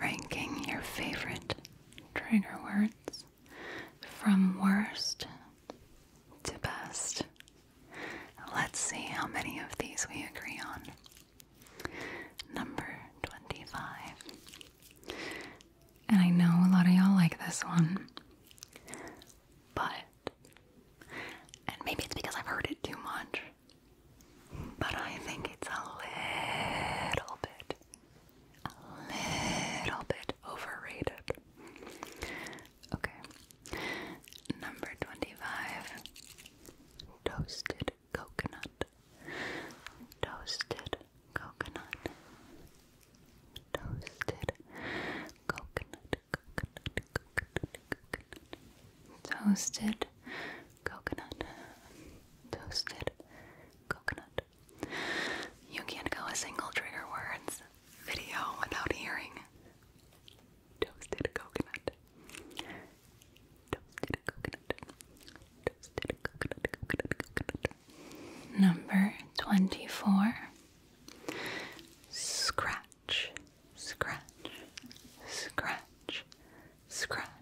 ranking your favorite trainer words from worst to best. Let's see how many of these we agree on. Number 25. And I know a lot of y'all like this one, but, and maybe it's because I've heard it too much, but I think it's a little bit, a little bit overrated. Okay. Number 25 Toasted coconut. Toasted coconut. Toasted coconut. Coconut. Coconut. Coconut. Toasted coconut, toasted coconut. You can't go a single trigger words video without hearing toasted coconut, toasted coconut, toasted coconut, Number 24 Scratch, scratch, scratch, scratch,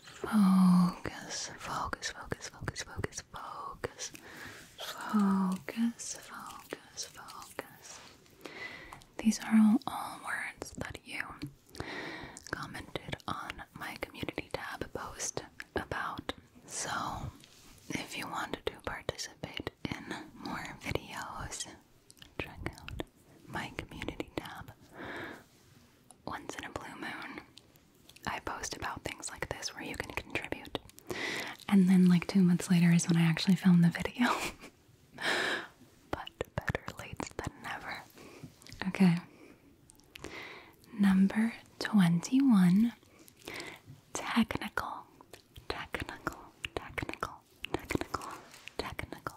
Focus, focus, focus, focus, focus, focus, focus, focus, focus. These are all, all words that you commented on my community tab post about. So, if you want to participate in more videos, check out my community tab once in a blue moon, I post about things like this where you can contribute. And then, like, two months later is when I actually filmed the video. but better late than never. Okay. Number 21 Technical, technical, technical, technical, technical,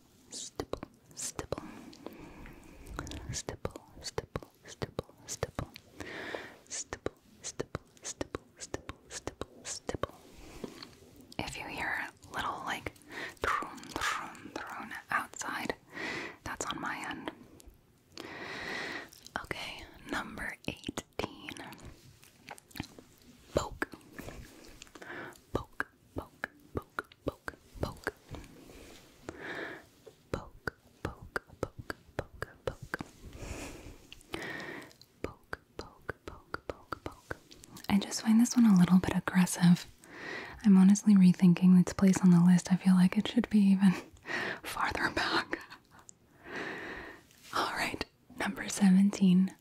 stipple, stipple, stipple, stipple, stipple, stipple, stipple, stipple, stipple, stipple, stipple, If you hear little like thrum, thrum, thrum outside, that's on my end. Okay, number 18. Poke. Poke poke, poke, poke, poke. Poke, poke, poke, poke, poke. Poke, poke, poke, poke, poke. I just find this one a little bit aggressive. I'm honestly rethinking its place on the list. I feel like it should be even farther back. Alright, number 17.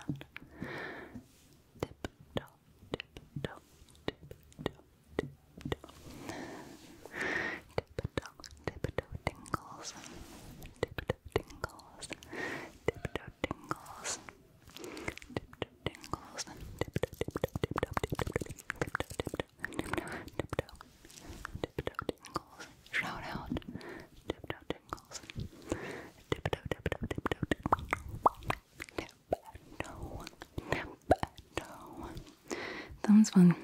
hand. Tip toe, tip toe, tip toe, tip toe. Tip toe, tip toe Tip toe tingles. Tip toe tingles. Tip toe tingles. Tip toe, tip toe, tip toe, tip toe, tip toe, tip toe. Tip toe, tip toe, tip toe, tip toe, tip toe. Shout out, tip toe tingles tingles. Dip -a -dip -a -dip -a -dip. Dip -a -do. Dip -a -do. That one's fun.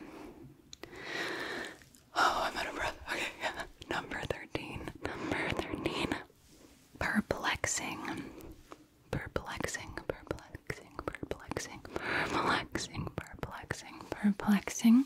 Oh, I'm out of breath. Okay, yeah. Number 13. Number 13. Perplexing. Perplexing. Perplexing. Perplexing. Perplexing. Perplexing. Perplexing. Perplexing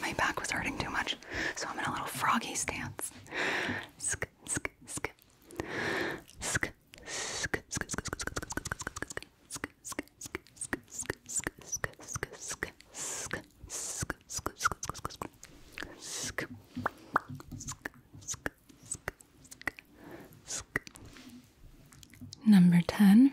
my back was hurting too much, so I'm in a little froggy stance. Number 10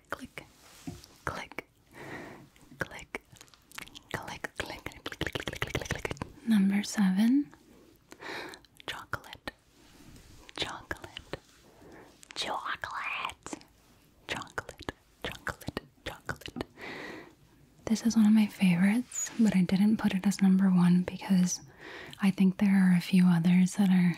click, click, click, click, click, click, click, click, click, click, click. Number seven, chocolate, chocolate, chocolate, chocolate, chocolate, chocolate. This is one of my favorites, but I didn't put it as number one because I think there are a few others that are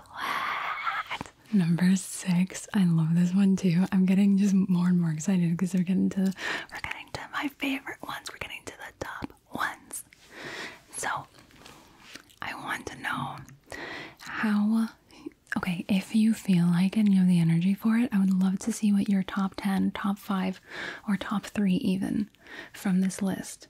Number six. I love this one too. I'm getting just more and more excited because they're getting to we're getting to my favorite ones. We're getting to the top ones. So I want to know how okay, if you feel like and you have the energy for it, I would love to see what your top 10, top 5, or top 3 even from this list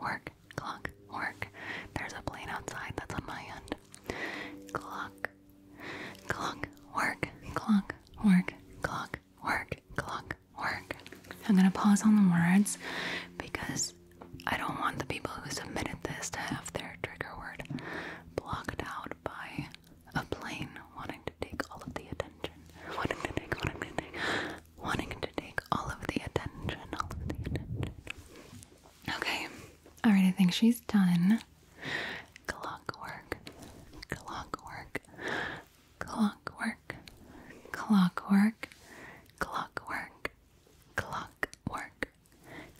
work, clock, work. There's a plane outside that's on my end. Clock, clock, work, clock, work, clock, work, clock, work. I'm gonna pause on the words because I don't want the people who submitted this to have their trigger word blocked out by a plane wanting to take all of the attention. Wanting to take, wanting to take, wanting to take all of the attention, all of the attention. Okay. All right, I think she's done. Clockwork, clockwork, clockwork, clockwork, clockwork,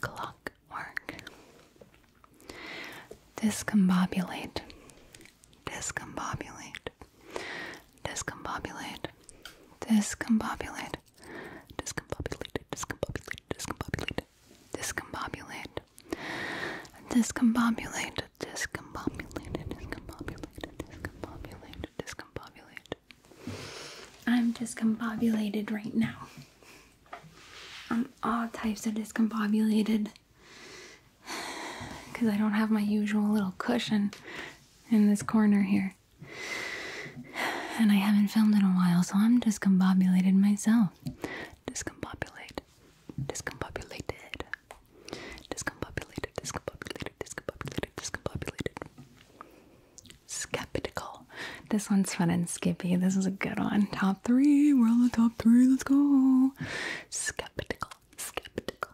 clockwork, clockwork. Discombobulate, discombobulate, discombobulate, discombobulate, discombobulated, discombobulated, discombobulated, discombobulated, discombobulated, discombobulated, discombobulated, discombobulated, discombobulate. I'm discombobulated right now. I'm all types of discombobulated because I don't have my usual little cushion in this corner here. And I haven't filmed in a while, so I'm discombobulated myself. Discombobulate. Discombobulated. Discombobulated. Discombobulated. Discombobulated. Discombobulated. Skeptical. This one's fun and skippy. This is a good one. Top three. We're on the top three. Let's go. Skeptical. Skeptical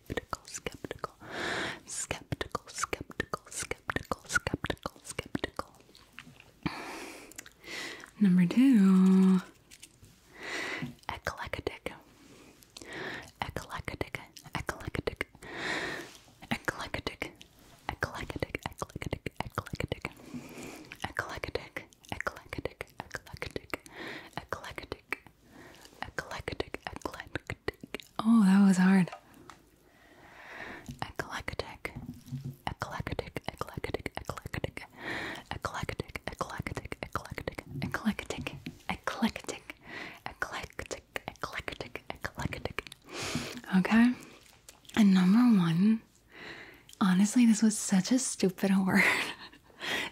skeptical, skeptical, skeptical, skeptical, skeptical, skeptical, skeptical. Number two, eclectic, eclectic, eclectic, eclectic, eclectic, eclectic, eclectic, eclectic, eclectic, eclectic, eclectic, Eclectic, eclectic. Oh, that was hard. Eclectic, eclectic, eclectic, eclectic, eclectic, eclectic, eclectic, eclectic, eclectic, eclectic, eclectic, eclectic. Okay. And number one, honestly, this was such a stupid word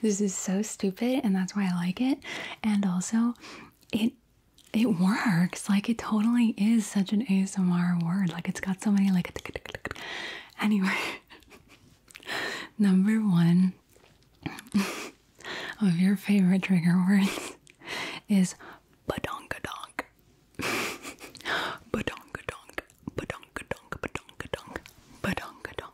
this is so stupid and that's why I like it. And also it it works. Like it totally is such an ASMR word. Like it's got so many like anyway. Number one of your favorite trigger words is badonkadonk. badonkadonk. Badonkadonk. Badonkadonk. Badonkadonk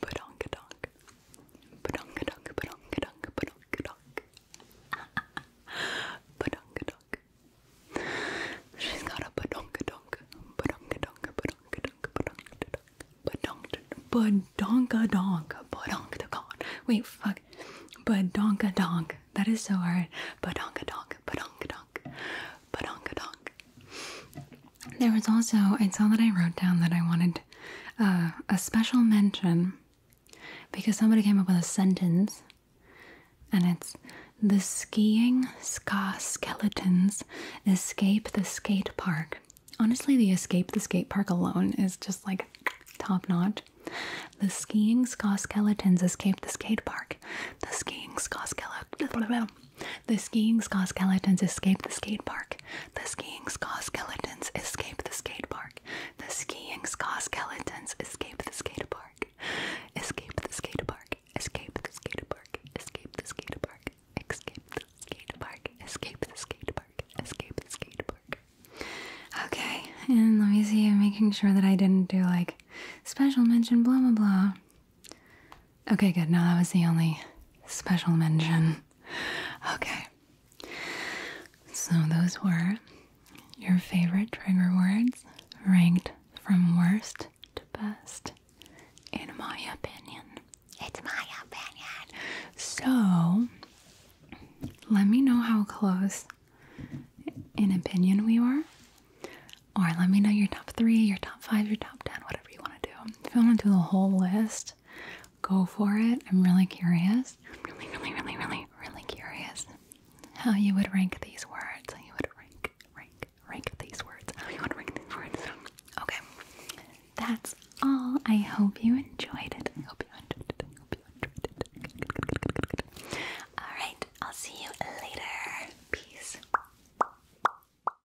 Badonkadonk. Badonkadonk, badonkadonk, badonkadonk. Badonkadonk. She's got a badonkadonk. Badonkadonk, badonkadonk, badonkadonk. Badonkadonk, badonkadonk, badonkadonk. Wait, fuck. Badonkadonk. That is so hard. Badonkadonk, badonkadonk, badonkadonk. There was also, I saw that I wrote down that I wanted uh, a special mention because somebody came up with a sentence and it's the skiing ska skeletons escape the skate park. Honestly, the escape the skate park alone is just like top notch. The skiing ska skeletons escape the skate park. The skiing ska skeletons. The skiing ska skeletons escape the skate park. The skiing ska skeletons escape the skate park. The skiing ska skeletons escape the skate park. Escape the skate park. Escape the skate park. Escape the skate park. Escape the skate park. Escape the skate park. Escape the skate park. Okay, and let me see. I'm making sure that I didn't do like special mention blah blah blah. Okay, good. Now that was the only special mention. Okay. So those were your favorite trigger words ranked from worst to best, in my opinion. It's my opinion. So let me know how close in opinion we were. Or let me know your top three, your top five, your top ten, whatever. If you want to do the whole list, go for it. I'm really curious. really, really, really, really, really curious how you would rank these words. How you would rank, rank, rank these words. How you would rank these words. Okay. That's all. I hope you enjoyed it. I hope you enjoyed it. I hope you enjoyed it. All right. I'll see you later. Peace.